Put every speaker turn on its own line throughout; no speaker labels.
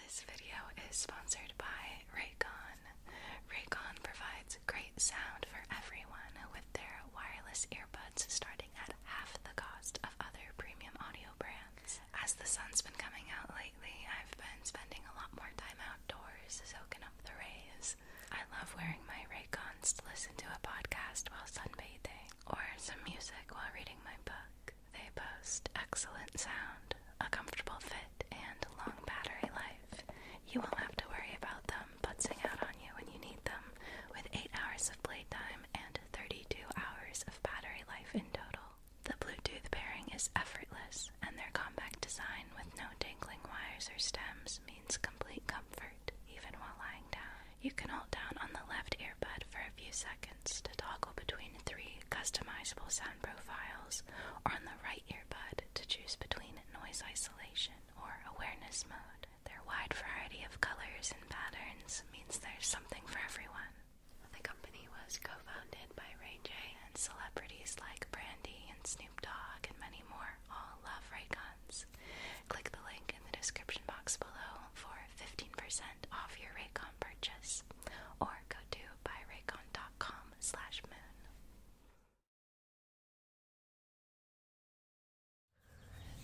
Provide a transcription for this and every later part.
This video is sponsored by Raycon. Raycon provides great sound for everyone with their wireless earbuds starting at half the cost of other premium audio brands. As the sun's been coming out lately, I've been spending a lot more time outdoors soaking up the rays. I love wearing my Raycons to listen to a podcast while sunbathing or some music while reading my book. They boast excellent sound, a comfortable fit, and long battery life. You won't have to worry about them butzing out on you when you need them, with 8 hours of playtime and 32 hours of battery life in total. The Bluetooth pairing is effortless, and their compact design with no dangling wires or stems means complete comfort, even while lying down. You can hold down on the left earbud for a few seconds to toggle between three customizable sound profiles on the right earbud to choose between noise isolation or awareness mode. Their wide variety of colors and patterns means there's something for everyone. The company was co founded by Ray J, and celebrities like Brandy and Snoop Dogg and many more all love Raycons. Click the link in the description box below for 15% off your Raycon purchase or go to buyraycon.com moon.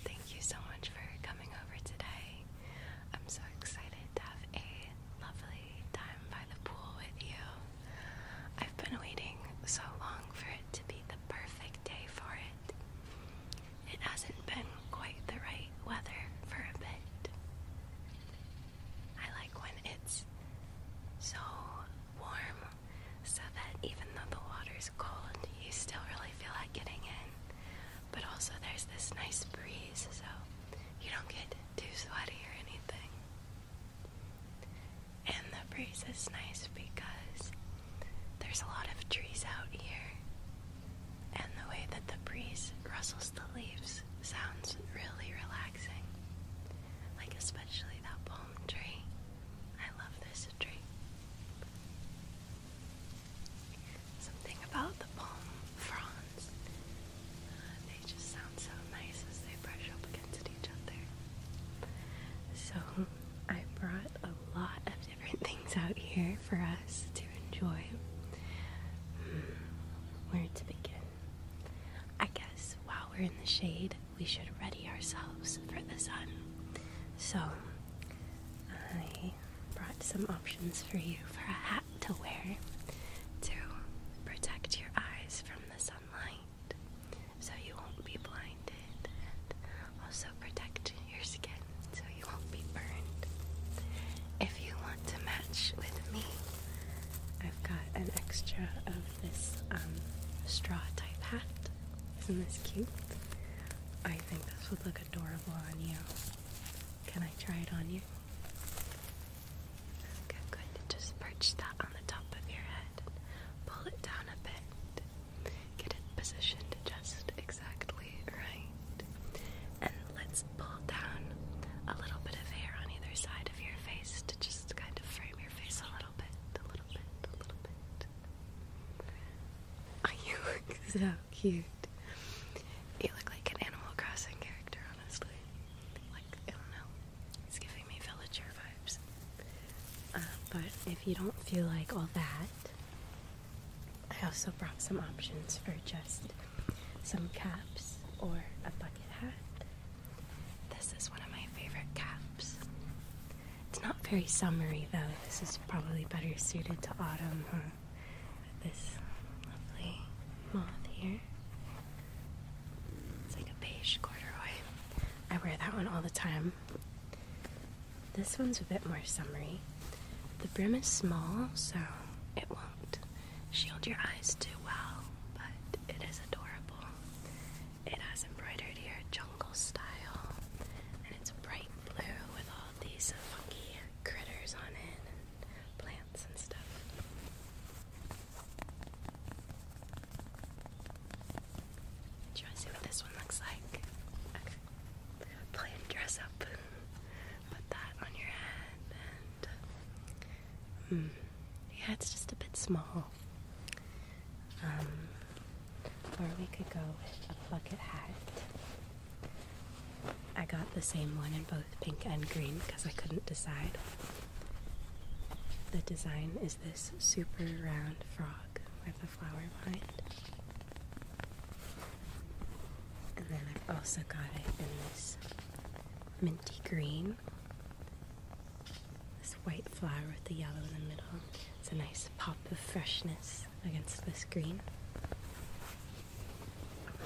Thank you so much for coming over today. I'm so excited to have a lovely time by the pool with you. I've been waiting so long for it to be the perfect day for it. It hasn't been quite the right weather for a bit. I like when it's so warm so that even though the water's cold, you still really feel like getting in. But also, there's this nice breeze, so you don't get too sweaty or anything. And the breeze is nice because there's a lot of trees out here, and the way that the breeze rustles the leaves sounds really relaxing. Like, especially that palm tree. I love this tree. Something about the palm fronds. they just sound so nice as they brush up against each other. So, I brought a lot of different things out here for us to enjoy. Hmm, where to begin? I guess while we're in the shade, we should ready ourselves for the sun. So, I brought some options for you for a hat to wear to protect your eyes from the sunlight so you won't be blinded and also protect your skin so you won't be burned. If you want to match with me, I've got an extra of this um, straw type hat. Isn't this cute? I think this would look adorable on you. Can I try it on you? Okay, good. Just perch that on the top of your head. Pull it down a bit. Get it positioned just exactly right. And let's pull down a little bit of hair on either side of your face to just kind of frame your face a little bit, a little bit, a little bit. you look so cute. You look like an Animal Crossing character, honestly. Like, I don't know. It's giving me villager vibes. Uh, but if you don't feel like all that, I also brought some options for just some caps or a bucket hat. This is one of my favorite caps. It's not very summery though. This is probably better suited to autumn, this lovely moth here. It's like a beige corduroy. I wear that one all the time. This one's a bit more summery. The brim is small, so it won't shield your eyes too well, but it is adorable. It has embroidered here jungle style, and it's bright blue with all these funky critters on it and plants and stuff. Do you want to see what this one looks like? Okay. Play dress up. Put that on your head and Hmm. yeah, it's just a bit small. Um, or we could go with a bucket hat. I got the same one in both pink and green because I couldn't decide. The design is this super round frog with a flower behind. And then I've also got it in this minty green this white flower with the yellow in the middle. It's a nice pop of freshness against this green.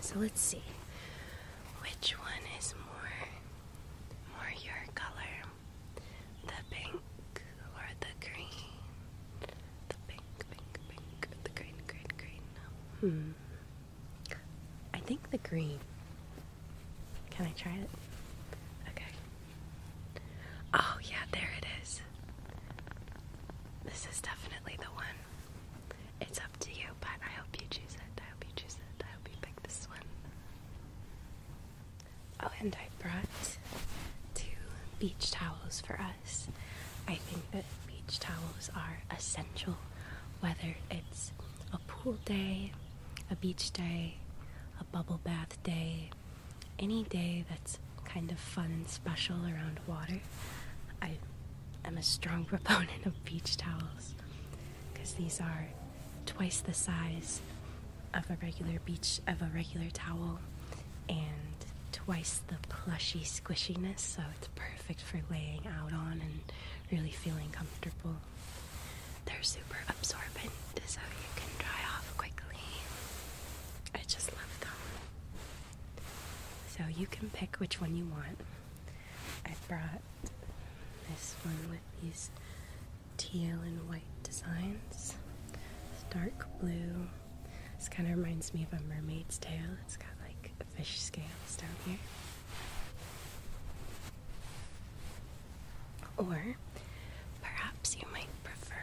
So let's see which one is more more your color. The pink or the green? The pink, pink, pink, the green, green, green. Hmm. I think the green. Can I try it? Okay. Oh, yeah, there it is. This is definitely the one. It's up to you, but I hope you choose it. I hope you choose it. I hope you pick this one. Oh, and I brought two beach towels for us. I think that beach towels are essential, whether it's a pool day, a beach day, a bubble bath day, any day that's kind of fun and special around water. I am a strong proponent of beach towels because these are twice the size of a regular beach of a regular towel and twice the plushy squishiness so it's perfect perfect for laying out on and really feeling comfortable. They're super absorbent, so you can dry off quickly. I just love them. So you can pick which one you want. I brought this one with these teal and white designs. It's dark blue. This kind of reminds me of a mermaid's tail. It's got like fish scales down here. Or perhaps you might prefer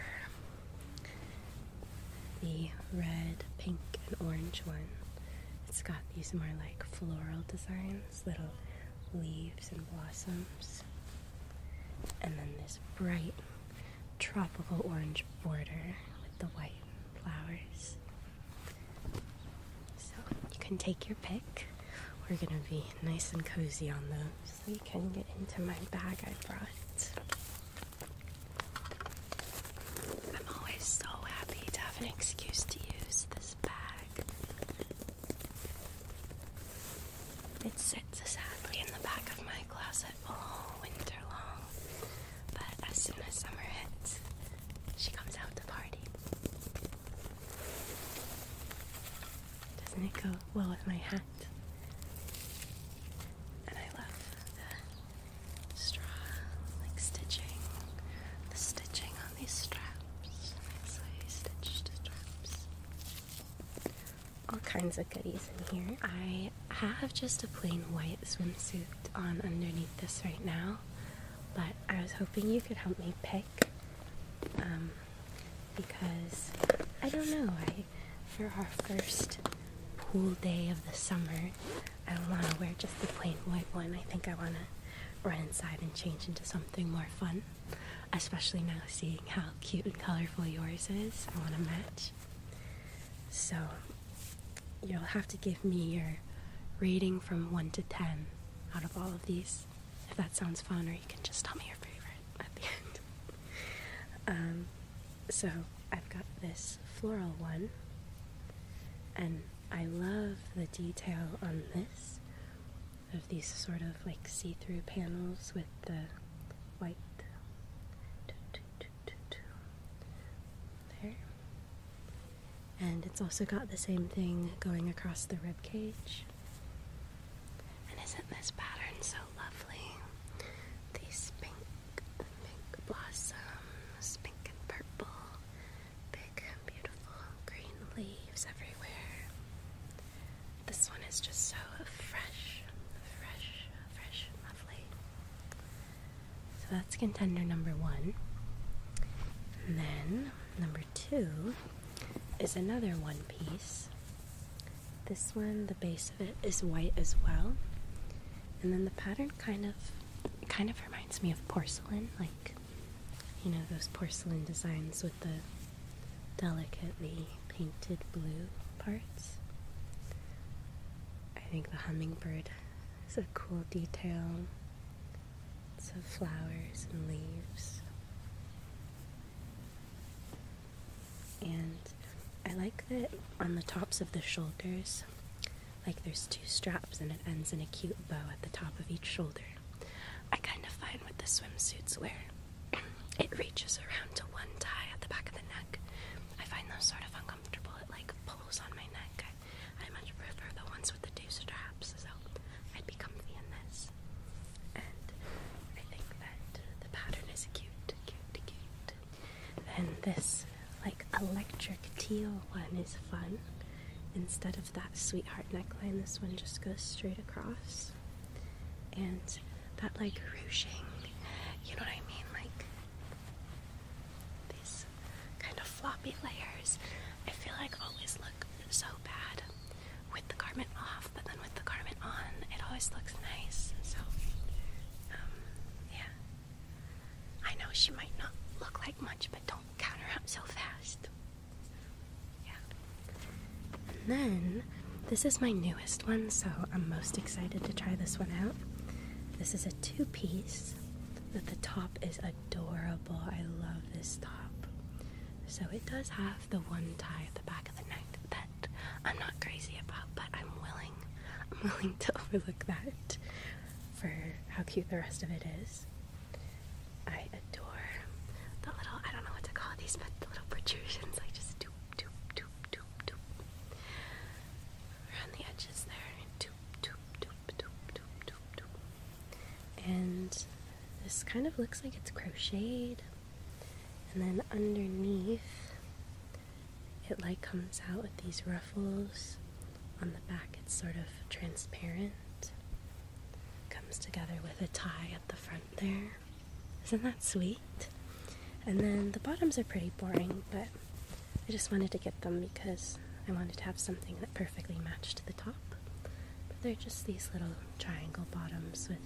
the red, pink, and orange one. It's got these more like floral designs, little leaves and blossoms. And then this bright tropical orange border with the white flowers. So you can take your pick. We're gonna be nice and cozy on those. So you can get into my bag I brought. I'm always so happy to have an excuse to use this bag. It sits sadly in the back of my closet all winter long, but as soon as summer hits, she comes out to party. Doesn't it go well with my hat? And I love the straw, like stitching, the stitching on these straps. All kinds of goodies in here. I have just a plain white swimsuit on underneath this right now but I was hoping you could help me pick um, because I don't know. I for our first pool day of the summer, I don't want to wear just the plain white one. I think I want to run inside and change into something more fun. Especially now, seeing how cute and colorful yours is, I want to match. So, you'll have to give me your rating from 1 to 10 out of all of these. If that sounds fun, or you can just tell me your favorite at the end. Um, so I've got this floral one, and I love the detail on this of these sort of like see through panels with the white. There and it's also got the same thing going across the rib cage. And isn't this pattern so lovely? These pink, pink blossoms, pink and purple, big, and beautiful green leaves everywhere. This one is just so fresh, fresh, fresh, lovely. So that's contender number one. then number two is another one piece. This one, the base of it is white as well. And then the pattern kind of kind of reminds me of porcelain, like you know, those porcelain designs with the delicately painted blue parts. I think the hummingbird is a cool detail lots of flowers and leaves. And I like that on the tops of the shoulders, like there's two straps and it ends in a cute bow at the top of each shoulder. I kind of find what the swimsuits wear. it reaches around to one tie at the back of the neck. I find those sort of uncomfortable. It like pulls on my neck jacket. I much prefer the ones with the two straps, so I'd be comfy in this. And I think that the pattern is cute, cute, cute. Then this, like, electric teal one is fun. Instead of that sweetheart neckline, this one just goes straight across. And that, like, ruching, you know what I mean? Like, these kind of floppy layers. I feel like always so bad with the garment off, but then with the garment on, it always looks nice. So, um, yeah. I know she might not look like much, but don't count her out so fast. Yeah. And then, this is my newest one, so I'm most excited to try this one out. This is a two piece, That the top is adorable. I love this top. So it does have the one tie at the back of the neck that I'm not crazy about, but I'm willing. I'm willing to overlook that for how cute the rest of it is. I adore the little, I don't know what to call these, but the little protrusions, like just doop, doop, doop, doop, doop. Around the edges there, doop, doop, doop, and this kind of looks like it's crocheted. And then underneath, it like comes out with these ruffles. On the back, it's sort of transparent. Comes together with a tie at the front there. Isn't that sweet? And then the bottoms are pretty boring, but I just wanted to get them because I wanted to have something that perfectly matched the top they're just these little triangle bottoms with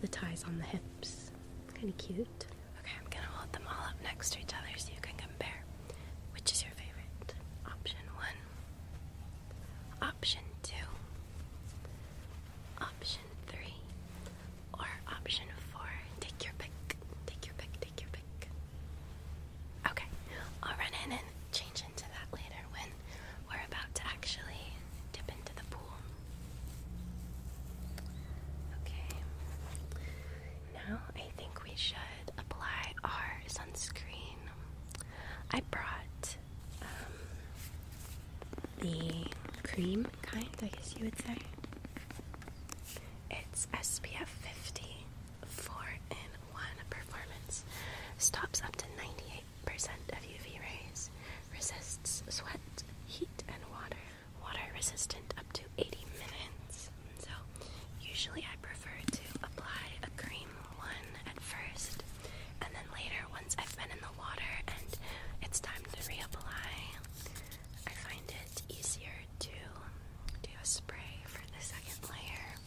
the ties on the hips. Kind of cute. Okay, I'm gonna hold them all up next to each other so you can compare. Which is your favorite? Option one, option two, option three, or option four. Take your pick. Take your pick. Take your pick. Okay, I'll run in and change into that later when we're about to actually dip into the pool. Okay, now I think we should apply our sunscreen. I brought um, the cream kind, I guess you would say. It's SPF 50 for. in performance, stops up to 98% of UV rays, resists sweat, heat, and water. Water resistant up to 80 minutes. So, usually I prefer to apply a cream one at first, and then later, once I've been in the water and it's time to reapply, I find it easier to do a spray for the second layer.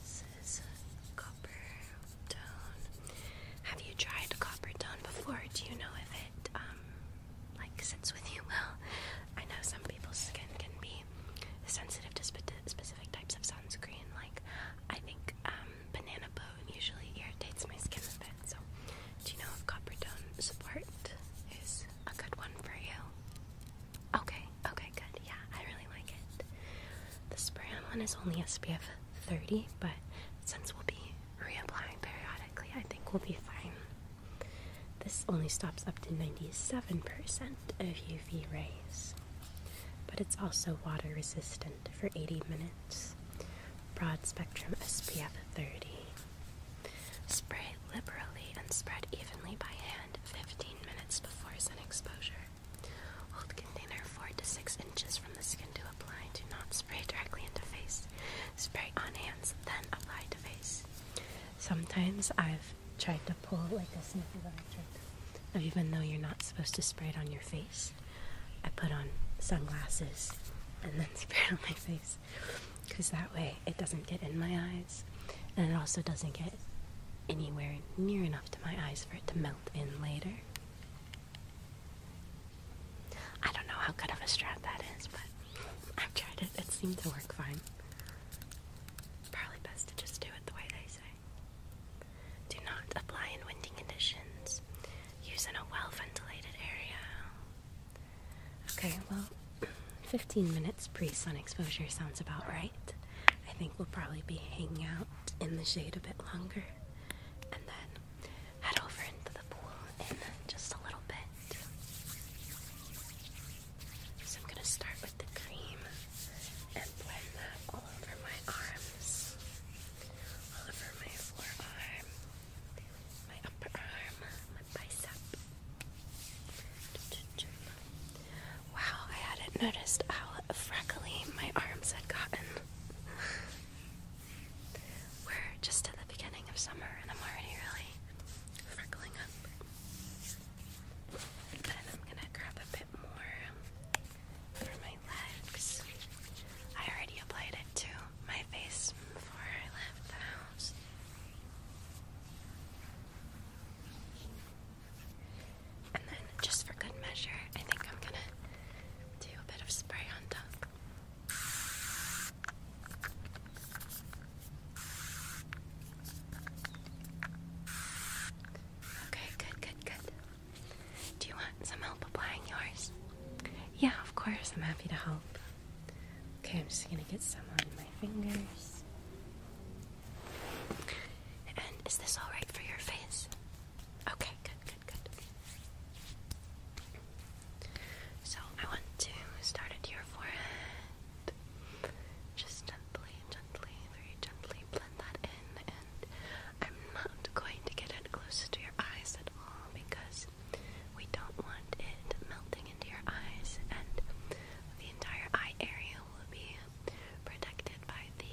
This is copper tone. Have you tried copper tone before? Do you know if it um, like sits with you well? I know some people's skin can be sensitive to specific types of sunscreen. Like I think um, banana boat usually irritates my skin a bit. So do you know if copper tone support is a good one for you? Okay, okay, good. Yeah, I really like it. The spray on one is only SPF 30, but since we'll be reapplying periodically, I think we'll be fine. This only stops up to 97% of UV rays, but it's also water resistant for 80 minutes. Broad spectrum SPF 30. Spray liberally and spread evenly by hand 15 minutes before sun exposure. Hold container 4 to 6 inches from the skin to apply. Do not spray directly into face. Spray on hands, then apply to face. Sometimes I've tried to pull like a sniffy little trick. Even though you're not supposed to spray it on your face, I put on sunglasses and then spray it on my face. Because that way it doesn't get in my eyes and it also doesn't get anywhere near enough my eyes for it to melt in later. I don't know how good of a strap that is, but I've tried it. It seemed to work fine. Probably best to just do it the way they say. Do not apply in windy conditions. Use in a well ventilated area. Okay, well, 15 minutes pre sun exposure sounds about right. I think we'll probably be hanging out in the shade a bit longer and then head over into the pool in just a little bit. So I'm going to start with the cream and blend that all over my arms, all over my forearm, my upper arm, my bicep. Wow, I hadn't noticed how freckly my arms had gotten. We're just at the beginning of summer and I'm already really freckling up. Then I'm gonna grab a bit more for my legs. I already applied it to my face before I left the house. And then, just for good measure, I think I'm gonna do a bit of spray on top. Okay, good, good, good. Do you want some help applying yours? Yeah, of course, I'm happy to help. Okay, I'm just gonna get some on my fingers. And is this all right for your face? Okay, good, good, good. So I want to start at your forehead. Just gently, gently, very gently blend that in. And I'm not going to get it close to your eyes at all because we don't want it melting into your eyes, and the entire eye area will be protected by the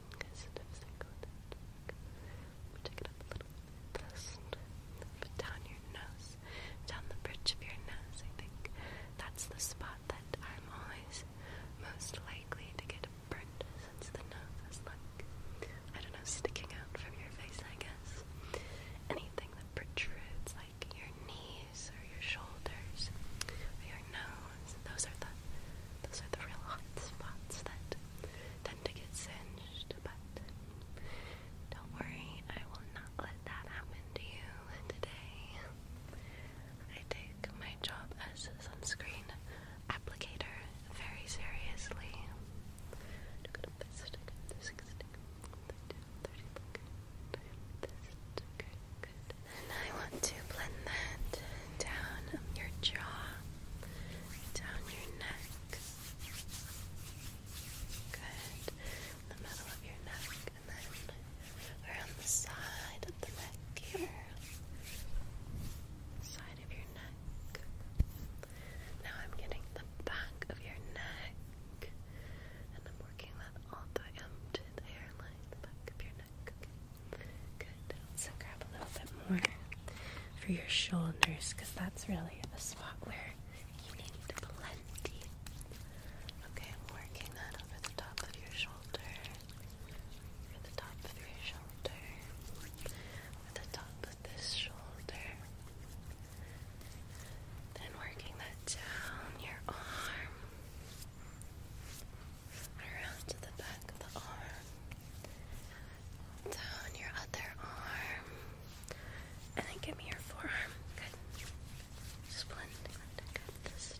take it up a little down your nose, down the bridge of your nose. I think that's the spot that I'm always most likely to get burnt, since the nose is like I don't know, sticking out from your face. I guess anything that protrudes, like your knees or your shoulders your nose, those are the those are the real hot spots that tend to get singed, but don't worry, I will not let that happen to you today. I take my job as a sunscreen applicator very seriously. And I want to blend that down your jaw down your neck. Good. the middle of your neck, and then around the side of the neck here. Side of your neck. Now I'm getting the back of your neck, and I'm working that all the way up to the back of your neck. Okay. Good. So grab a little bit more for your shoulders because that's really a spot where you need plenty. Okay, I'm working that over the top of your shoulder, over the top of your shoulder, over the top of this shoulder. Then working that down your arm, around to the back of the arm, down your other arm, and then give me your forearm. Good. Just blend. Good. This.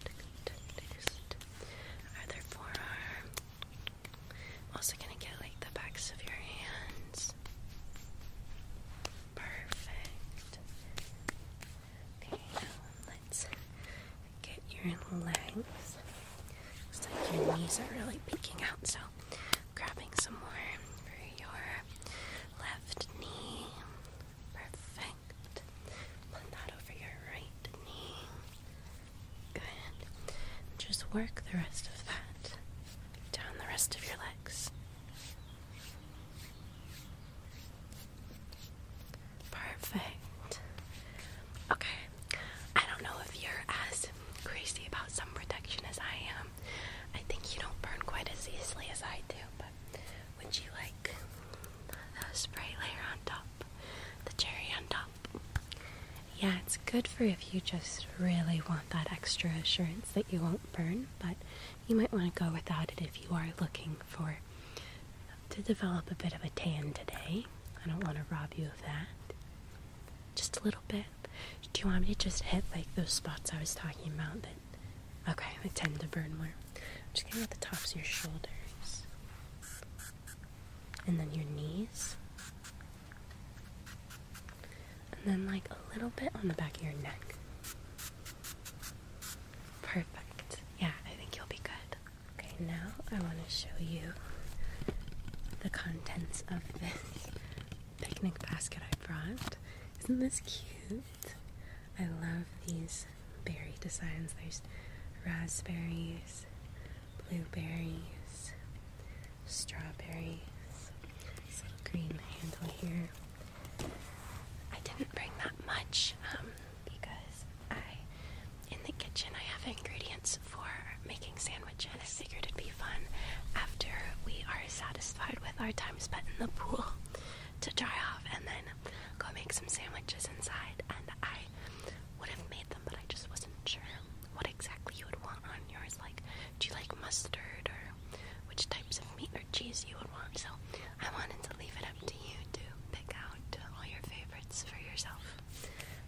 Other forearm. also gonna get like the backs of your hands. Perfect. Okay, now let's get your legs. Looks like your knees are really peeking out, so grabbing some more for your left knee. Perfect. Put that over your right knee. Good. Just work the rest of that down the rest of your legs. Perfect. Okay, I don't know if you're as crazy about sun protection as I am. I think you don't burn quite as easily as I do, but would you like the spray layer on top? The cherry on top? Yeah, it's good for if you just really want that extra assurance that you won't burn, but you might want to go without it if you are looking for to develop a bit of a tan today. I don't want to rob you of that just a little bit. Do you want me to just hit like those spots I was talking about that okay, they tend to burn more? I'm just gonna get the tops of your shoulders. And then your knees. And then like a little bit on the back of your neck. Perfect. Yeah, I think you'll be good. Okay, now I want to show you the contents of this picnic basket I brought. Isn't this cute? I love these berry designs. There's raspberries, blueberries, strawberries. This little green handle here. I didn't bring that much um, because I, in the kitchen, I have ingredients for making sandwiches. I figured it'd be fun after we are satisfied with our time spent in the pool to dry off and then go make some sandwiches inside. And I would have made them, but I just wasn't sure what exactly you would want on yours. Like, do you like mustard or which types of meat or cheese you would want? So I wanted to leave it up to you to pick out all your favorites for yourself.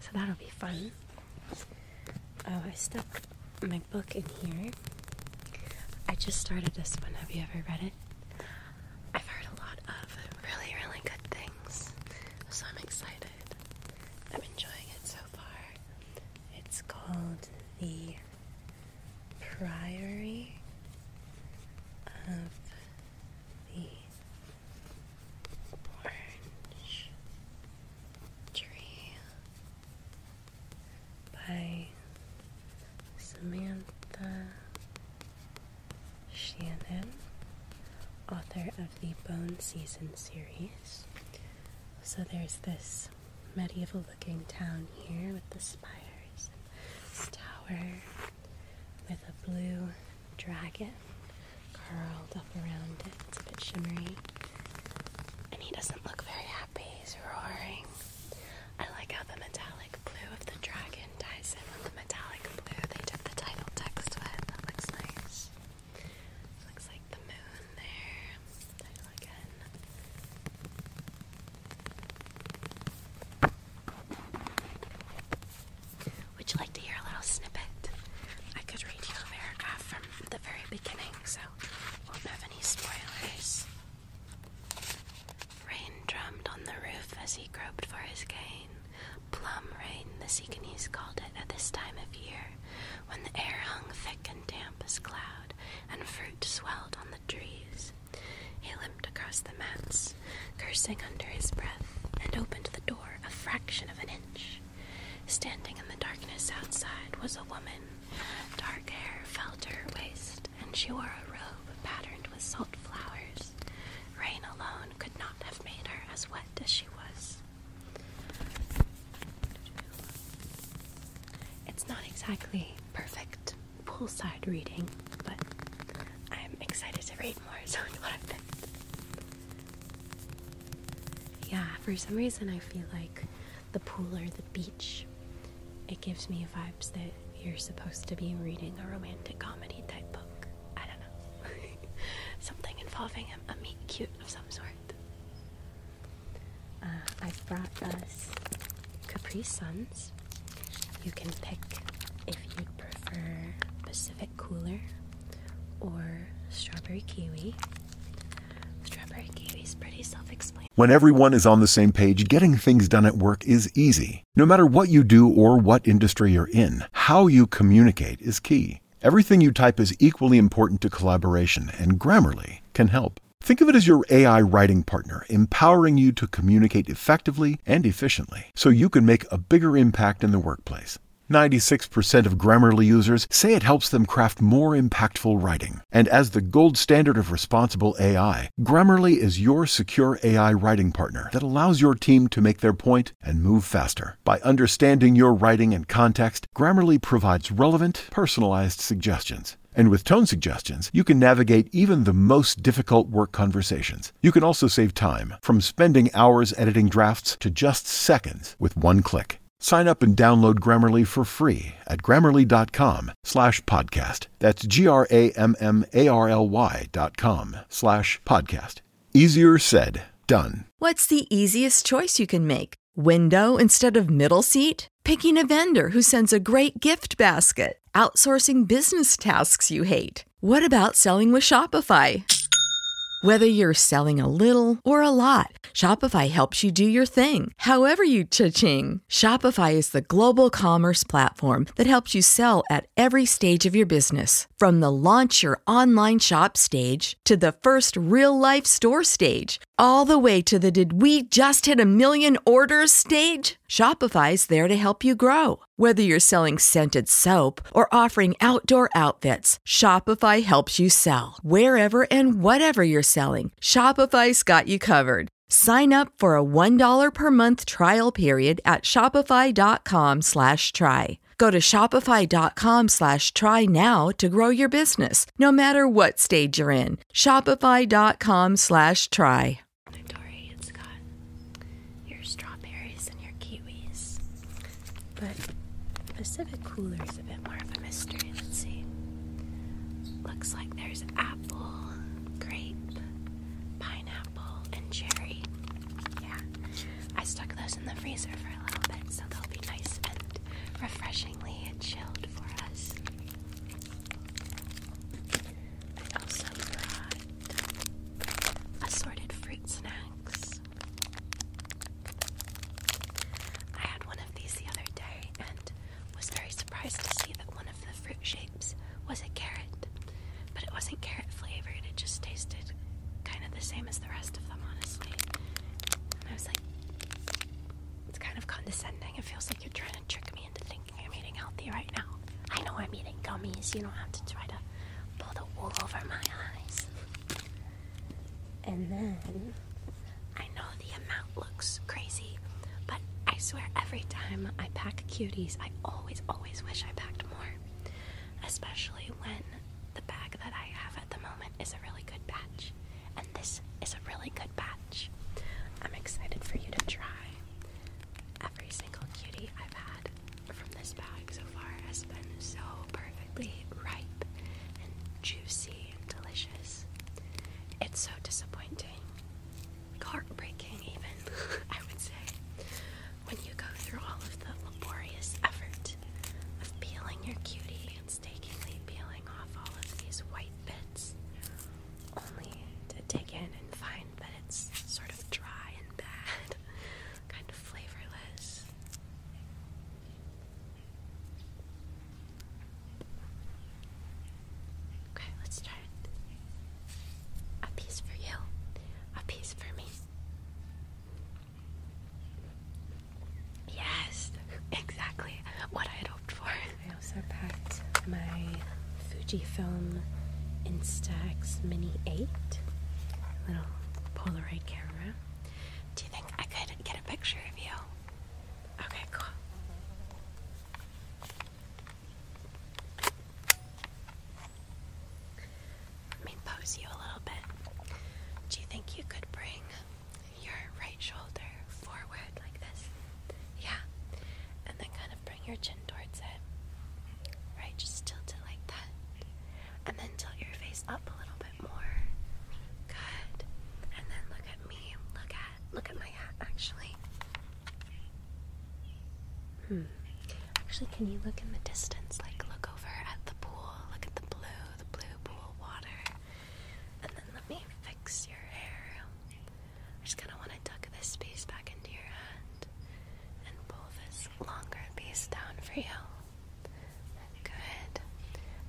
So that'll be fun. Oh, I stuck my book in here. I just started this one. Have you ever read it? I've heard a lot of really, really good things, so I'm excited. I'm enjoying it so far. It's called The Priory of the Orange Tree by Samantha Shannon, author of the Bone Season series. So there's this medieval looking town here with the spires and this tower with a blue dragon curled up around it. It's a bit shimmery. And he doesn't look very happy. He's roaring. I like how the metallic blue of the dragon ties in with the metallic blue they took the title text with. That looks nice. looks like the moon there. Title Would you like to hear a little snippet? I could read you a paragraph from at the very beginning, so won't have any spoilers. Rain drummed on the roof as he groped for his cane. Plum rain, the Seaconese called it at this time of year, when the air hung thick and damp as cloud, and fruit swelled on the trees. He limped across the mats, cursing under his breath, and opened the door a fraction of an inch. Standing in the darkness outside was a woman. Dark hair fell to her waist, and she wore a robe patterned with salt flowers. Rain alone could not have made her as wet as she was. It's not exactly perfect poolside reading, but I'm excited to read more, so it's what I picked. Yeah, for some reason I feel like the pool or the beach, it gives me vibes that you're supposed to be reading a romantic comedy type book. I don't know. Something involving a, a cute of some sort. Uh, I've brought us Capri Suns. You can pick if you'd prefer Pacific Cooler or Strawberry Kiwi.
When everyone is on the same page, getting things done at work is easy. No matter what you do or what industry you're in, how you communicate is key. Everything you type is equally important to collaboration, and Grammarly can help. Think of it as your AI writing partner, empowering you to communicate effectively and efficiently so you can make a bigger impact in the workplace. 96 percent of Grammarly users say it helps them craft more impactful writing. And as the gold standard of responsible AI, Grammarly is your secure AI writing partner that allows your team to make their point and move faster. By understanding your writing and context, Grammarly provides relevant, personalized suggestions. And with tone suggestions, you can navigate even the most difficult work conversations. You can also save time from spending hours editing drafts to just seconds with one click. Sign up and download Grammarly for free at grammarly.com slash podcast. That's G R A M M A R L Y dot com slash podcast. Easier said, done.
What's the easiest choice you can make? Window instead of middle seat? Picking a vendor who sends a great gift basket? Outsourcing business tasks you hate? What about selling with Shopify? Whether you're selling a little or a lot, Shopify helps you do your thing, however you cha-ching. Shopify is the global commerce platform that helps you sell at every stage of your business. From the launch your online shop stage to the first real life store stage, all the way to the did we just hit a million orders stage? Shopify is there to help you grow. Whether you're selling scented soap or offering outdoor outfits, Shopify helps you sell. Wherever and whatever you're selling, Shopify's got you covered. Sign up for a $1 per month trial period at shopify.com slash try. Go to shopify.com slash try now to grow your business, no matter what stage you're in. Shopify.com slash try. Inventory, it's got your
strawberries and your kiwis, but Pacific Cooler a bit more of a mystery. Let's see. Looks like there's apple, grape, pineapple, and cherry. Yeah. I stuck those in the freezer for a little bit, so they'll be nice and refreshingly chilled for us. I also brought assorted fruit snacks. I had one of these the other day and was very surprised to see that one of the fruit shapes was a carrot. But it wasn't carrot flavored, it just tasted kind of the same as the rest of them, honestly. And I was like, it's kind of condescending. It feels like you're trying to trick me into thinking I'm eating healthy right now. I know I'm eating gummies, you don't have to try to pull the wool over my eyes. And then I know the amount looks crazy, but I swear every time I pack cuties, I always, always wish I packed more. Especially when the bag that I have at the moment is a really good batch. And this is a really good batch. I'm excited for you to try. Every single cutie I've had from this bag so far has been so perfectly ripe and juicy delicious. It's so disappointing, heartbreaking, even, I would say, when you go through all of the laborious effort of peeling your cutie and stakingly peeling off all of these white bits, only to dig in and find that it's sort of dry and bad, kind of flavorless. Okay, let's start. A piece for you, a piece for me. Yes, exactly what I had hoped for. I also packed my Fujifilm Instax Mini 8, little Polaroid camera. Do you think I could get a picture of you? Okay, cool. Let me pose you a little bit. Do you think you could bring your right shoulder forward like this? Yeah. And then kind of bring your chin towards it. Right, just tilt it like that. And then tilt your face up a little bit bit more. Good. at my hat actually. Hmm. Actually, can you look in the distance? Like look over at the pool. Look at the blue, the blue pool water. And then let me fix your hair. I'm just gonna want to tuck this piece back into your hand and pull this longer piece down for you. Good.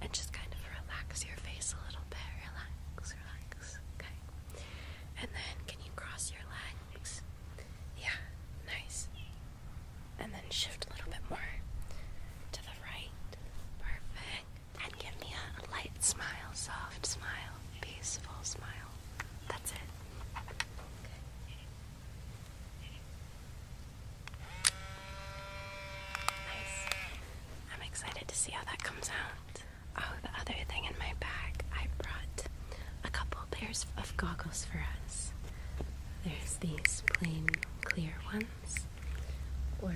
And just kind of relax your face a little bit. Relax, relax. Okay. And then can you cross your legs? Yeah, nice. And then shift a little bit more to the right. Perfect. And give me a light smile, soft smile, peaceful smile. That's it. Okay. Nice. I'm excited to see how that comes out. Oh, the other thing in my bag, I brought a couple pairs of goggles for us. There's these plain clear ones, or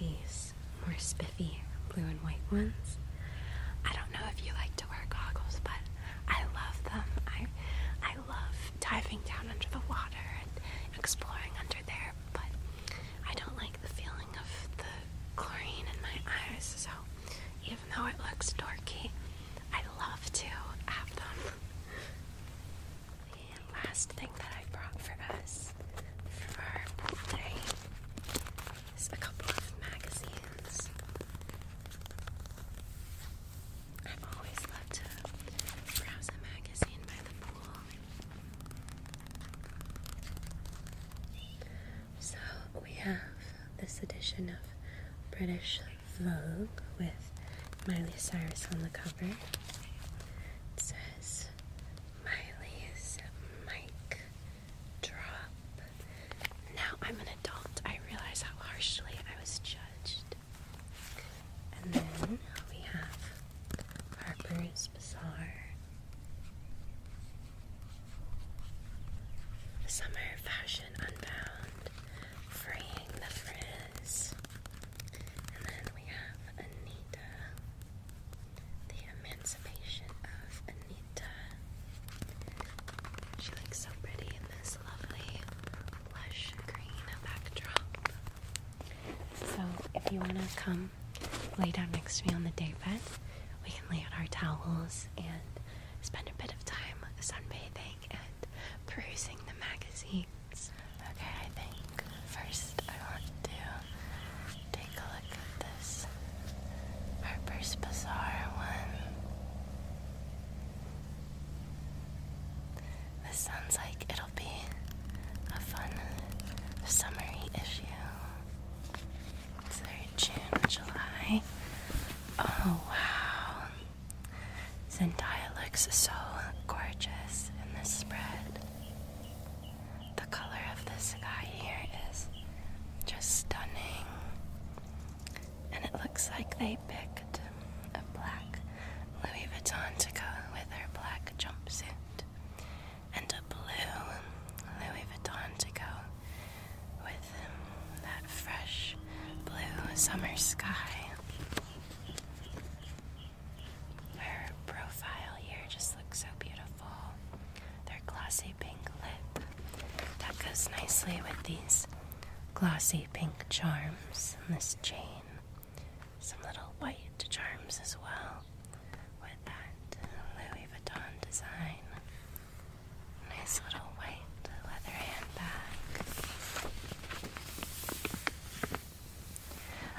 these more spiffy blue and white ones. I don't know if you like to wear goggles, but I love them. I I love diving down under the water and exploring under there, but I don't like the feeling of the chlorine in my eyes, so even though it looks dorky, I love to have them. The last thing that I brought for us for our birthday is a couple of magazines. I've always loved to browse a magazine by the so we have this edition of British Vogue with Miley Cyrus on the cover. It says Miley's mic drop. Now I'm an adult. I realize how harshly I was judged. And then we have Harper's Harper's Bazaar. Summer Fashion Unbound, Fraying the Frizz. And then we have Anita, The Emancipation of Anita. She looks so pretty in this lovely lush green backdrop. So, if you want to come lay down next to me on the day bed. We can lay out our towels and spend a bit of time sunbathing and perusing the magazines. Okay, I think first I want to take a look at this Our first bizarre one. This sounds like it'll be a fun summery issue. So June, July. Oh wow. Zendaya looks so gorgeous in this spread. The color of this guy here is just stunning. And it looks like they picked a black Louis Vuitton to go with her black jumpsuit and a blue Louis Vuitton to go with um, that fresh blue summer sky. Her profile here just looks so beautiful. Their glossy pink lip that goes nicely with these glossy pink charms in this chain some little white charms as well with that Louis Vuitton design. Nice little white leather handbag.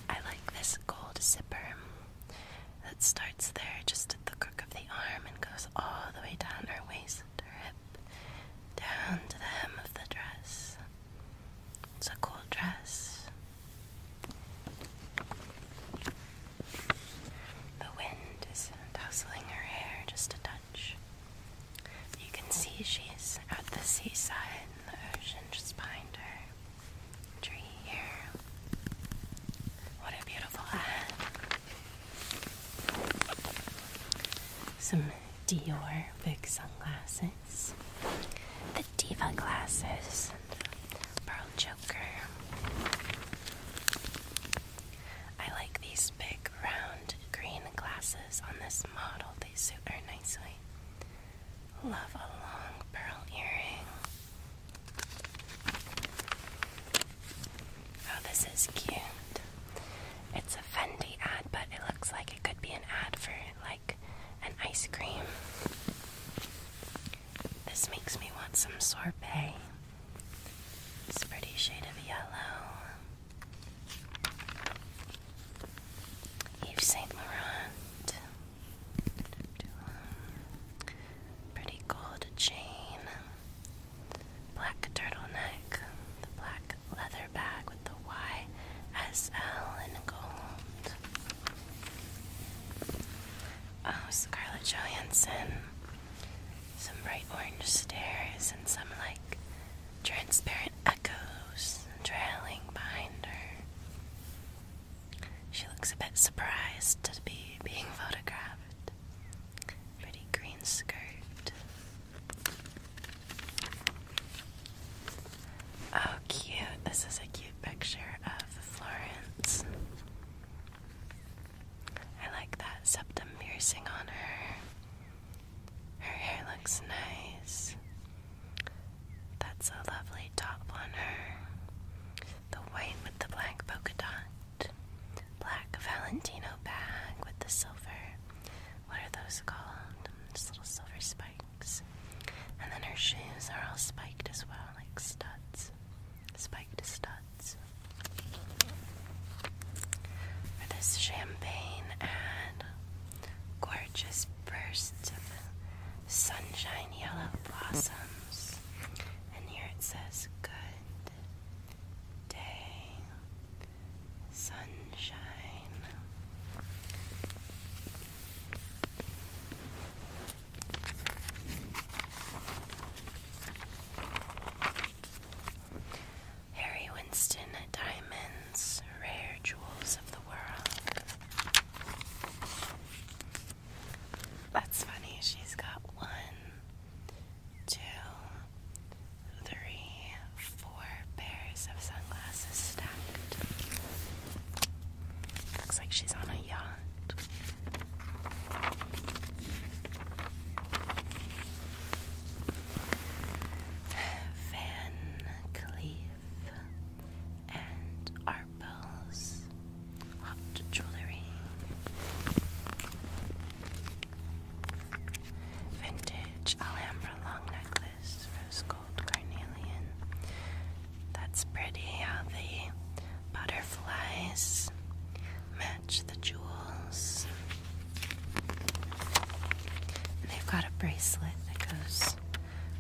I like this gold zipper that starts there just at the crook of the arm and goes all the way down her waist, to her hip, down to the hem of the dress. It's a cool dress. The wind is tousling her hair just a touch. You can see she's at the seaside, the ocean just behind her. Tree here. What a beautiful hat. Some Dior big sunglasses. The Diva glasses. Pearl Joker. I like these big round green glasses on this model, they suit her nicely. Love a long pearl earring. Oh, this is cute. It's a Fendi ad, but it looks like it could be an ad for like an ice cream. This makes me want some sorbet. It's pretty shade of yellow. Yves Saint Laurent. Pretty gold chain. Black turtleneck. The black leather bag with the YSL in gold. Oh, Scarlett Johansson. Some bright orange stairs and some like transparent echoes trailing behind her. She looks a bit surprised to be being photographed. Pretty green skirt. Oh, cute. This is a cute picture of Florence. I like that septum piercing on her. Her hair looks nice. That's a lovely top on her. The white with the black polka dot. Black Valentino bag with the silver. What are those called? Just little silver spikes. And then her shoes are all spiked as well, like studs studs, spiked studs. For this champagne and gorgeous bursts of sunshine yellow blossoms. And here it says, Good day, sunshine. Harry Winston Diamonds, Rare Jewels of the World. That's funny, she's got one, two, three, four pairs of sunglasses stacked. Looks like she's on a yacht. Van Cleef and Arpels hot jewelry. Vintage Alhambra long necklace, rose gold carnelian. That's pretty how the butterflies match the jewels. they've got a bracelet that goes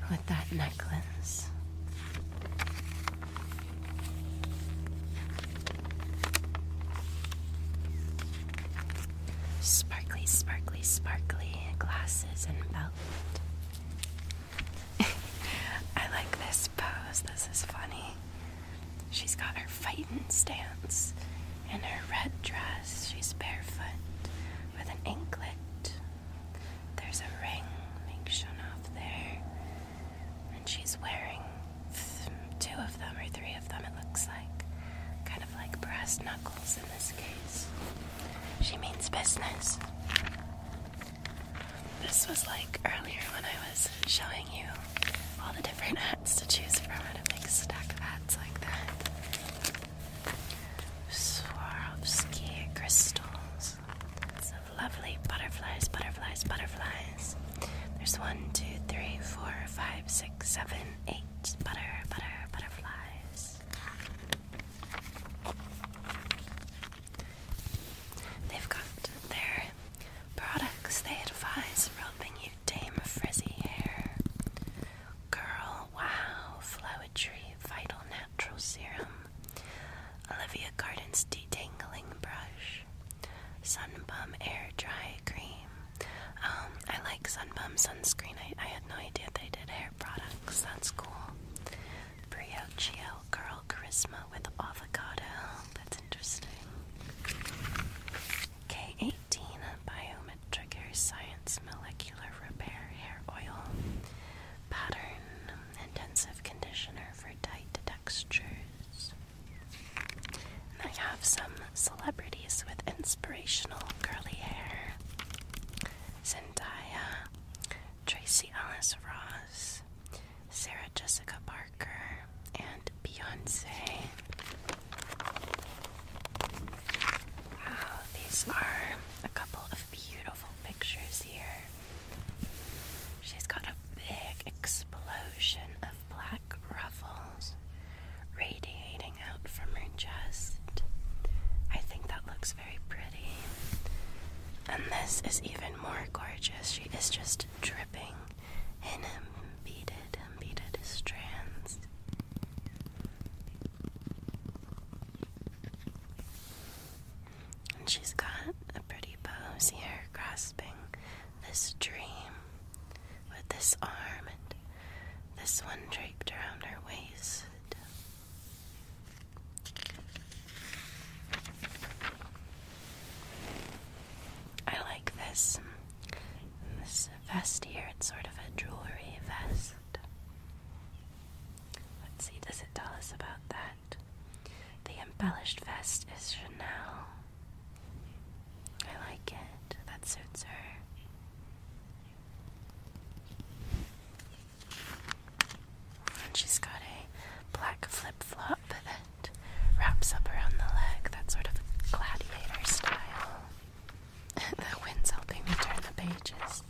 with that necklace. Sparkly, sparkly, sparkly glasses and belt. I like this pose. This is funny. She's got her fighting stance in her red dress. She's barefoot with an anklet. There's a ring being shown off there. And she's wearing two of them or three of them, it looks like. Kind of like brass knuckles in this case. She means business. This was like earlier when I was showing you all the different hats to choose from and a big stack of hats like that. Swarovski crystals. So lovely butterflies, butterflies, butterflies. There's one, two, three, four, five, six, seven, eight butter, butter, butterflies. They've got their products. They advise helping you tame frizzy hair. Girl Wow flowery Vital Natural Serum. Olivia Garden's Detangling Brush. Sunbum Air Dry Cream. Um, I like Sunbum sunscreen. I, I had no idea they did hair products. That's cool. Briochio Curl Charisma with avocado. That's interesting. K18 Biometric Hair Science Molecular Repair Hair Oil Pattern Intensive Conditioner for Tight Textures. And I have some celebrities with inspirational curly hair. Zendaya, Tracy Ellis Ross, Sarah Jessica Parker, and Beyonce. Wow, these are a couple of beautiful pictures here. She's got a big explosion of black ruffles radiating out from her chest. I think that looks very pretty. And this is even more gorgeous. She is just dripping in beaded, beaded strands. And she's got a pretty pose here, grasping this dream with this arm and this one draped around her waist. I like this this vest here. It's sort of a jewelry vest. Let's see, does it tell us about that? The embellished vest is Chanel. I like it. That suits her she's got a black flip flop that wraps up around the leg, that sort of gladiator style. the wind's helping me turn the pages.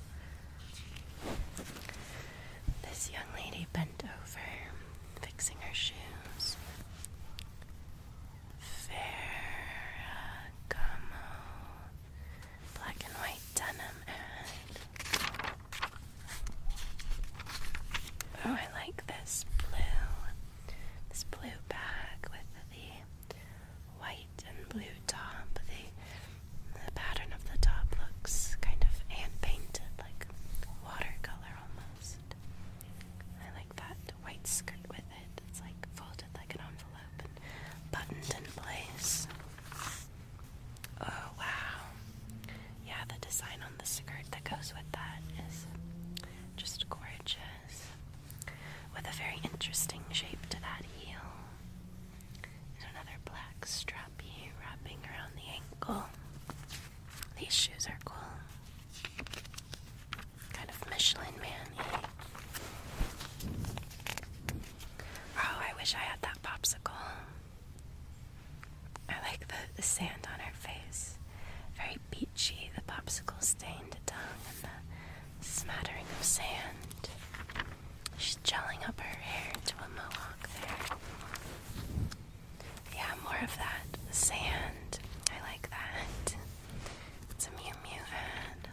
This young lady bent over, fixing her shoes. Ferragamo, black and white denim ad. Oh, I like this blue. This blue bag with the white and blue top. The, the pattern of the top looks kind of hand painted, like watercolor almost. I like that white skirt with it. It's like folded like an envelope buttoned in place. Oh wow yeah, the design on the skirt that goes with that is just gorgeous. With a very interesting shape to that heel. another black strappy wrapping around the ankle. These shoes are cool. Kind of Michelin man Oh, I wish I had that popsicle. I like the, sand on her face. Very beachy. the popsicle stained tongue and the smattering of sand. She's gelling up her hair to a mohawk there. Yeah, more of that. The sand. I like that. It's a Mew Mew ad.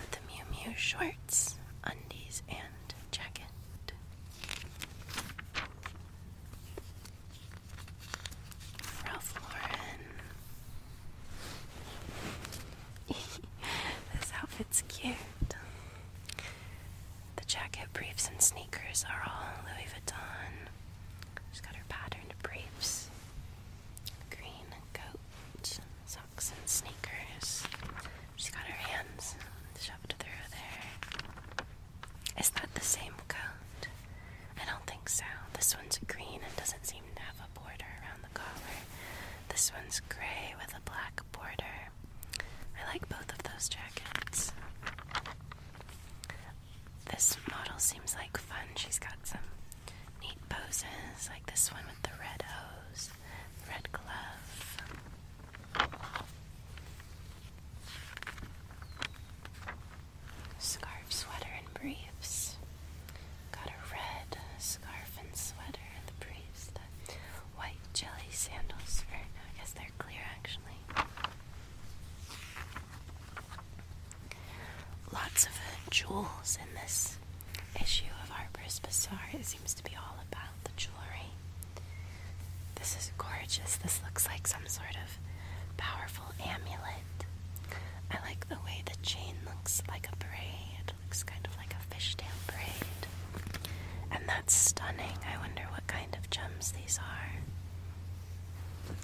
With the Mew Mew shorts, undies, and jacket. Ralph Lauren. this outfit's cute. The jacket, briefs, and sneakers are all Louis Vuitton. She's got her patterned briefs, green coat, socks, and sneakers. She's got her hands shoved through there. Is that the same coat? I don't think so. This one's green and doesn't seem to have a border around the collar. This one's gray with a black border. I like both of those jackets. This model seems like fun. She's got some neat poses, like this one with the red hose, red glove. Scarf, sweater, and briefs. Got a red scarf and sweater, and the briefs, white jelly sandals. Or, no, I guess they're clear actually. Lots of jewels in this issue of Harper's Bazaar. It seems to be all about the jewelry. This is gorgeous. This looks like some sort of powerful amulet. I like the way the chain looks like a braid. It looks kind of like a fishtail braid. And that's stunning. I wonder what kind of gems these are.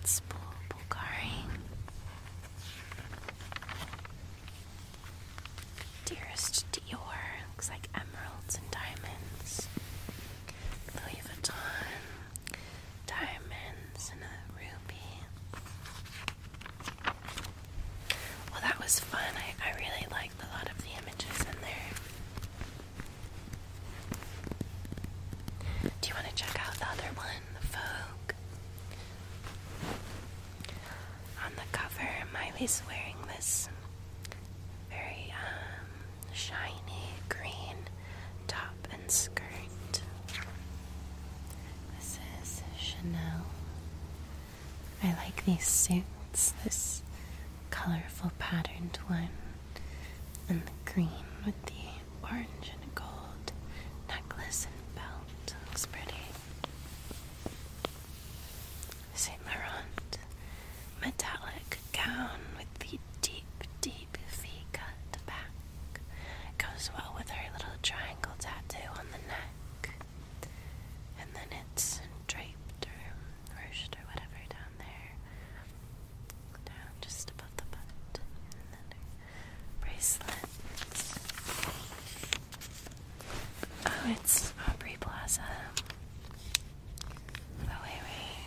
It's Bul Bulgari. Dearest Dior. Looks like emeralds and diamonds. Louis Vuitton, diamonds, and a ruby. Well, that was fun. I, I really liked a lot of the images in there. Do you want to check out the other one, the Vogue? On the cover, Miley's wearing this very um, shiny green top and skirt. This is Chanel. I like these suits, this colorful patterned one, and the green with the orange and gold necklace and belt. Looks pretty. Cimarron metallic gown with the deep, deep V-cut back. Goes well with her little triangle tattoo on the neck. And then it's draped or ruched or whatever down there. Down just above the butt. bracelets. Oh, it's Aubrey Plaza. Oh, wait, wait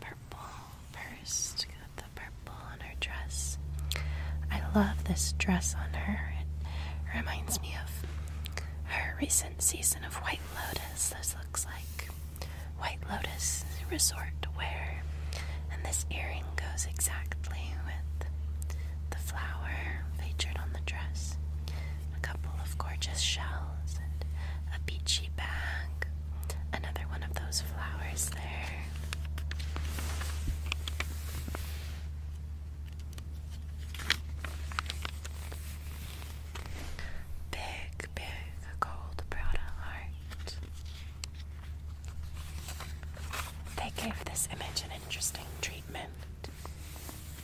purple first. Got the purple on her dress. I love this dress on her. It reminds me of her recent season of White Lotus. This looks like White Lotus resort wear. And this earring goes exactly with the flower featured on the dress a couple of gorgeous shells, and a beachy bag. Another one of those flowers there. Big, big gold Prada heart. They gave this image an interesting treatment.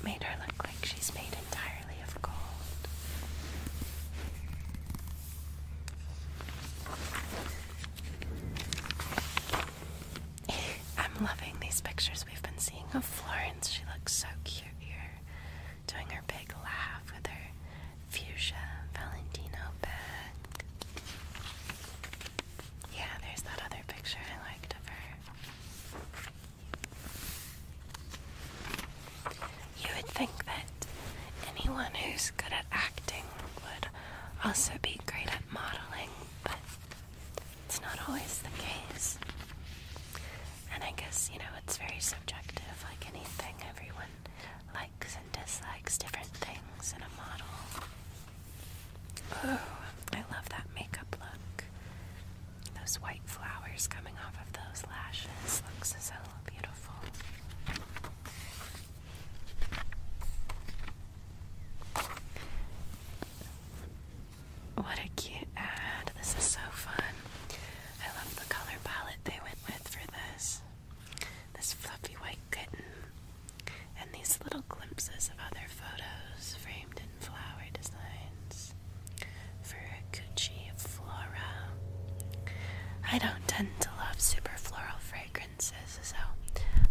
Made her look like she's made in of I'm loving these pictures we've been seeing of Florence. She looks so cute here, doing her big laugh with her fuchsia Valentino bag. Yeah, there's that other picture I liked of her. You would think that anyone who's good at acting would also be great at modeling, but it's not always the case. And I guess, you know, it's very subjective, like anything. Everyone likes and dislikes different things in a model. Oh, I love that makeup look. Those white flowers coming off of those lashes looks so beautiful. What a cute ad. This is so fun. I love the color palette they went with for this. This fluffy white kitten. And these little glimpses of other photos framed in flower designs. Furukuchi Flora. I don't tend to love super floral fragrances, so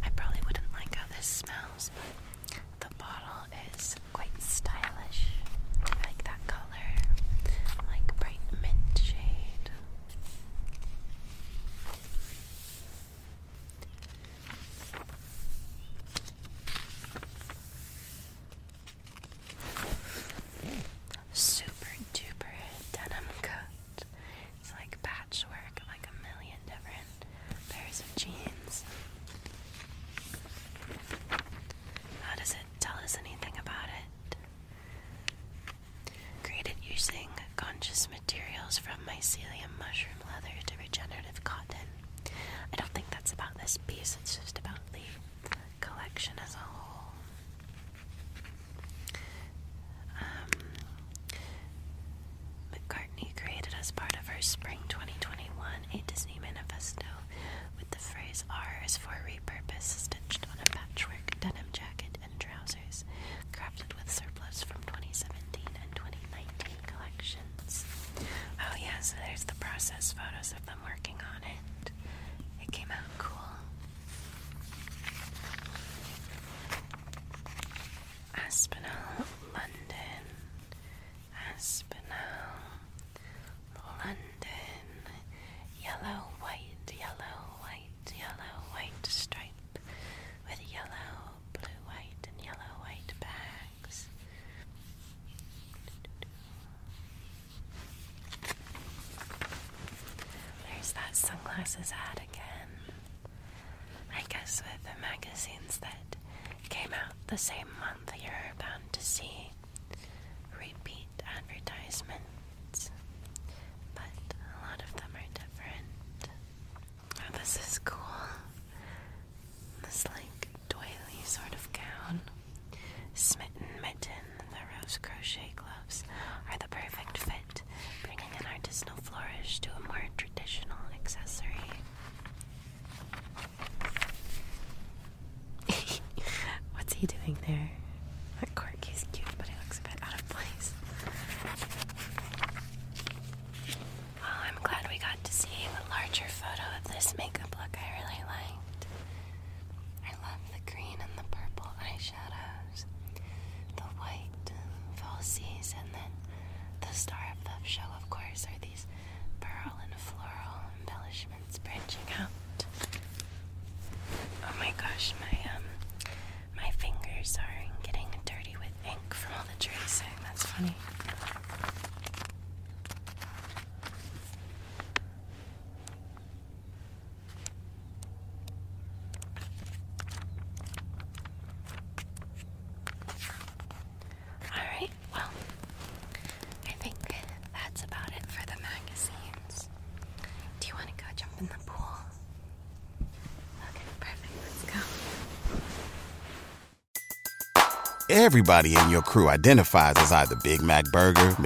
I probably wouldn't like how this smells, but the bottle is quite stylish. I like that color, like bright mint shade. Super duper denim coat. It's like patchwork like a million different pairs of jeans. How does it tell us anything about it? Created using conscious materials from mycelium mushroom leather to regenerative cotton. I don't think that's about this piece, it's just about the collection as a whole. Um, McCartney created as part of her spring 2021 a Disney manifesto with the phrase R is for repurpose stitched on a patchwork denim jacket and trousers crafted with surplus from 2017 and 2019 collections. Oh yeah, so there's the process photos of them working on it. It came out cool. Aspinall, London. Aspinall, London. Yellow, white, yellow, white, yellow, white stripe with yellow, blue, white, and yellow, white bags. There's that sunglasses ad again. I guess with the magazines that came out the same month, you're bound to see repeat advertisements, but a lot of them are different. Oh, this is cool. This, like, doily sort of gown. Smitten Mitten, the rose crochet gloves are the perfect fit, bringing an artisanal flourish to a more traditional accessory. What's he doing there? That corky's cute, but he looks a bit out of place. I'm glad we got to see the larger photo of this makeup look I really liked. I love the green and the purple eyeshadows, the white falsies, and then the star of the show, of course, are these pearl and floral embellishments branching out. Oh my gosh, my um, my fingers are getting dirty with ink from all the tracing. That's funny. Alright, well, I think that's about it for the magazines. Do you want to go jump in the pool? Okay,
perfect. Let's go. Everybody in your crew identifies as either Big Mac Burger,